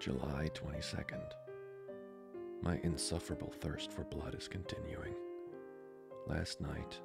July 22nd. My insufferable thirst for blood is continuing. Last night,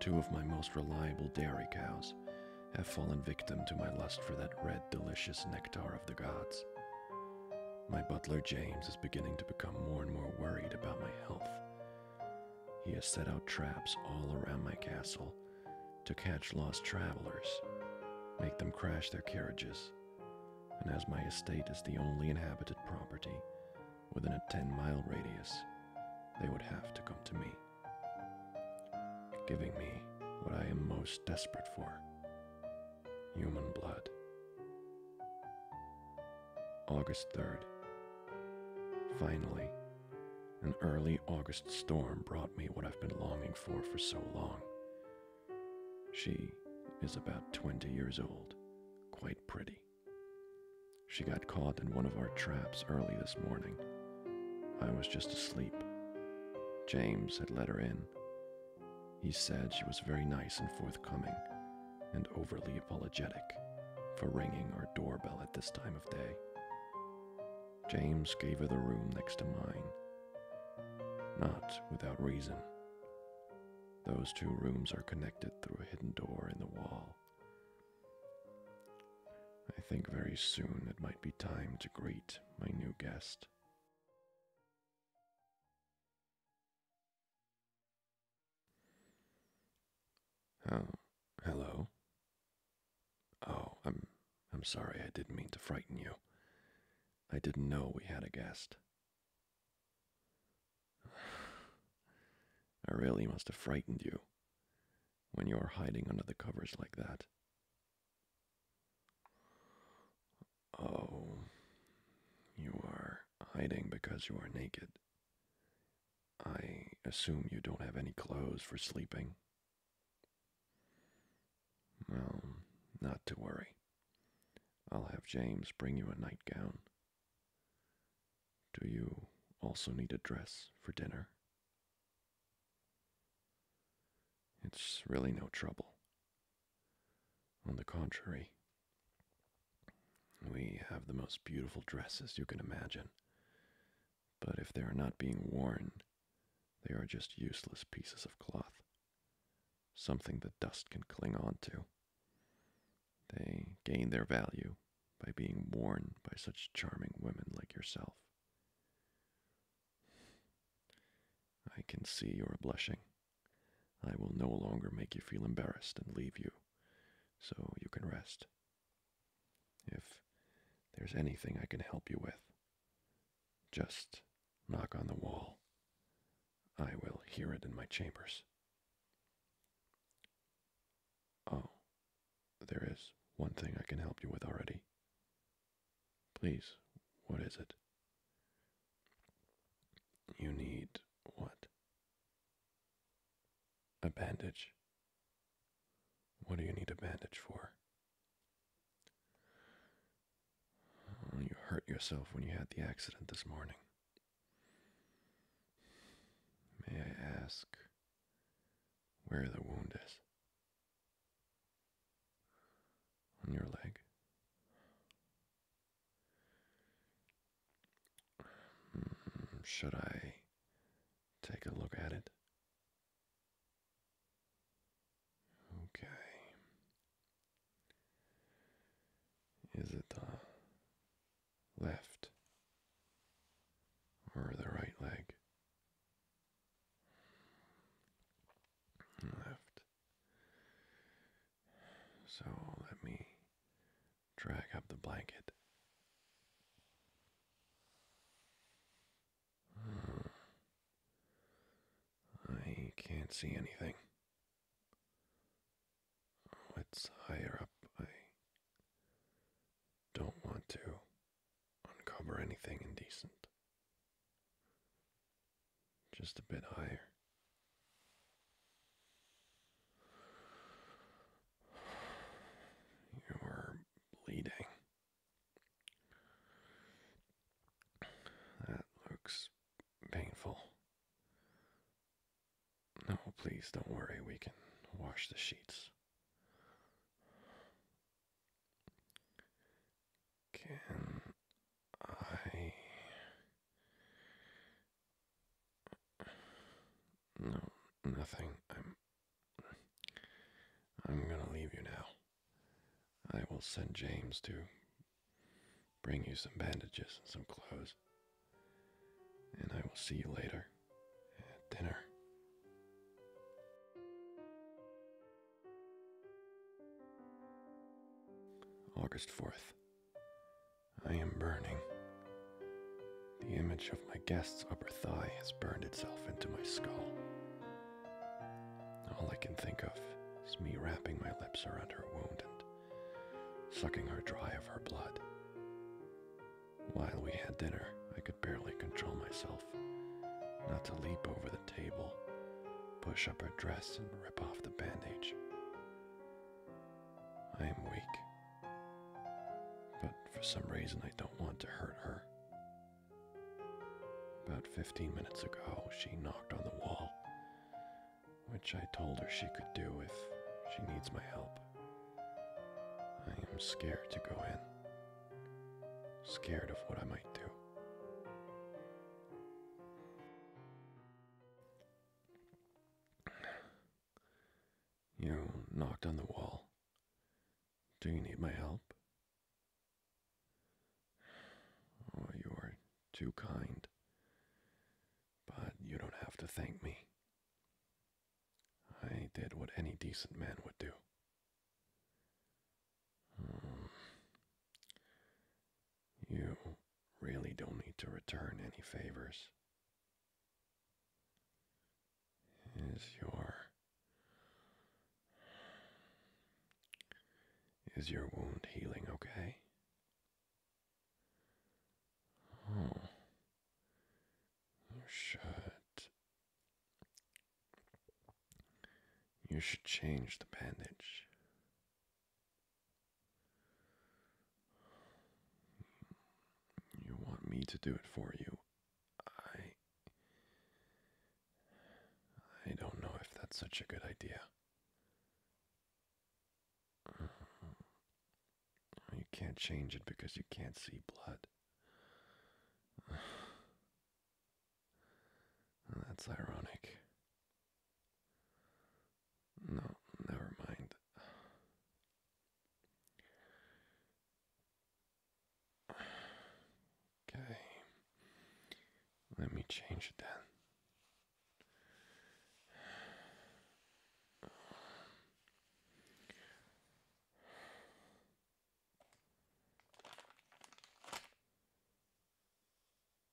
two of my most reliable dairy cows have fallen victim to my lust for that red, delicious nectar of the gods. My butler James is beginning to become more and more worried about my health. He has set out traps all around my castle to catch lost travelers, make them crash their carriages, and as my estate is the only inhabited property within a 10 mile radius, they would have to come to me, giving me what I am most desperate for human blood. August 3rd. Finally, an early August storm brought me what I've been longing for for so long. She is about 20 years old, quite pretty. She got caught in one of our traps early this morning. I was just asleep. James had let her in. He said she was very nice and forthcoming, and overly apologetic for ringing our doorbell at this time of day. James gave her the room next to mine. Not without reason. Those two rooms are connected through a hidden door in the wall. I think very soon it might be time to greet my new guest. Oh, hello, Oh, I'm I'm sorry. I didn't mean to frighten you. I didn't know we had a guest. I really must have frightened you when you are hiding under the covers like that. Oh, you are hiding because you are naked. I assume you don't have any clothes for sleeping, well, not to worry. I'll have James bring you a nightgown. Do you also need a dress for dinner? It's really no trouble. On the contrary, we have the most beautiful dresses you can imagine. But if they are not being worn, they are just useless pieces of cloth, something the dust can cling on to. They gain their value by being worn by such charming women like yourself. I can see you are blushing. I will no longer make you feel embarrassed and leave you, so you can rest. If there's anything I can help you with, just knock on the wall. I will hear it in my chambers. Oh, there is one thing I can help you with already. Please, what is it? You need what? A bandage. What do you need a bandage for? Oh, you hurt yourself when you had the accident this morning. May I ask where the wound is? On your leg? Hmm, should I take a look at it? Okay. Is it the left or the right leg? Left. So let me drag up the blanket. I can't see anything. it's higher up. I don't want to uncover anything indecent. Just a bit higher. You were bleeding. That looks painful. No, please don't worry, we can wash the sheets. Can I? No, nothing. I'm I'm going to leave you now. I will send James to bring you some bandages and some clothes. And I will see you later at dinner. August 4th. I am burning. The image of my guest's upper thigh has burned itself into my skull. All I can think of is me wrapping my lips around her wound and sucking her dry of her blood. While we had dinner, I could barely control myself not to leap over the table, push up her dress, and rip off the bandage. I am weak, but for some reason I don't want to hurt her. About 15 minutes ago, she knocked on the wall, which I told her she could do if she needs my help. I am scared to go in, scared of what I might do. You knocked on the wall. Do you need my help? Oh, you are too kind. But you don't have to thank me. I did what any decent man would do. Hmm. you really don't need to return any favors. Is your is your wound healing okay? Oh, you should. You should change the bandage. You want me to do it for you? I. I don't know if that's such a good idea. You can't change it because you can't see blood. That's ironic. No, never mind. Okay. Let me change it then.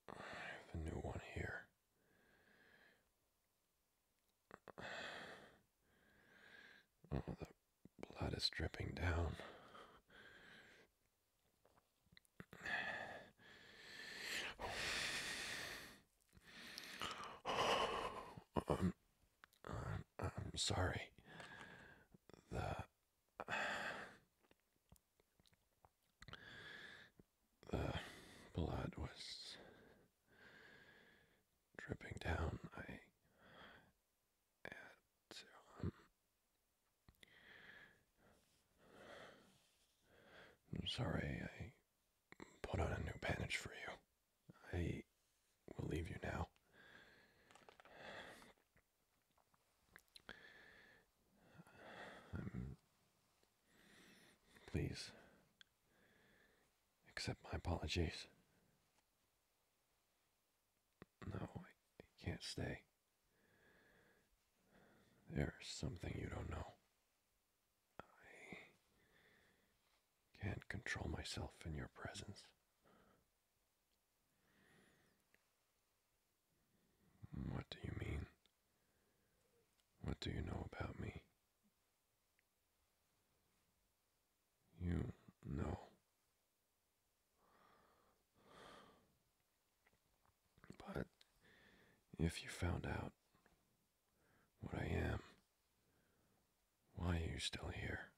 I have a new one here. Oh, the blood is dripping down. I'm, um, um, I'm, sorry. The, the blood was dripping down. I um, I'm sorry I put on a new bandage for you. I will leave you now. please accept my apologies. No, I can't stay. There's something you don't know. I can't control myself in your presence. What do you mean? What do you know about me? You know but if you found out what I am, why are you still here?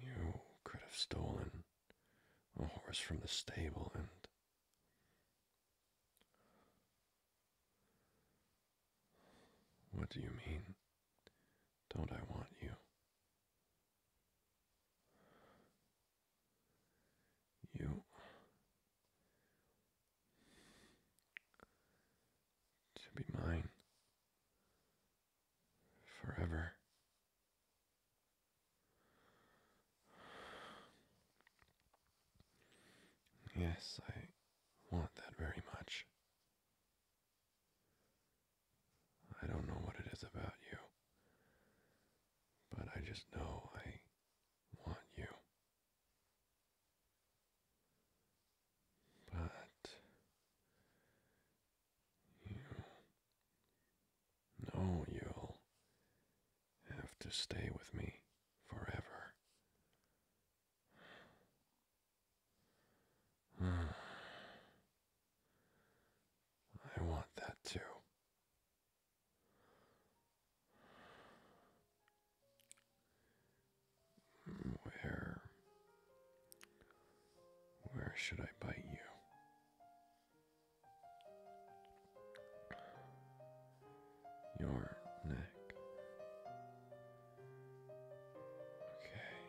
You could have stolen a horse from the stable and. What do you mean? Don't I want you? you to be mine forever. Yes, I want that very much. I don't know what it is about you, but I just know I want you. But you know you'll have to stay with me forever. I want that too. Where where should I bite you? Your neck. Okay.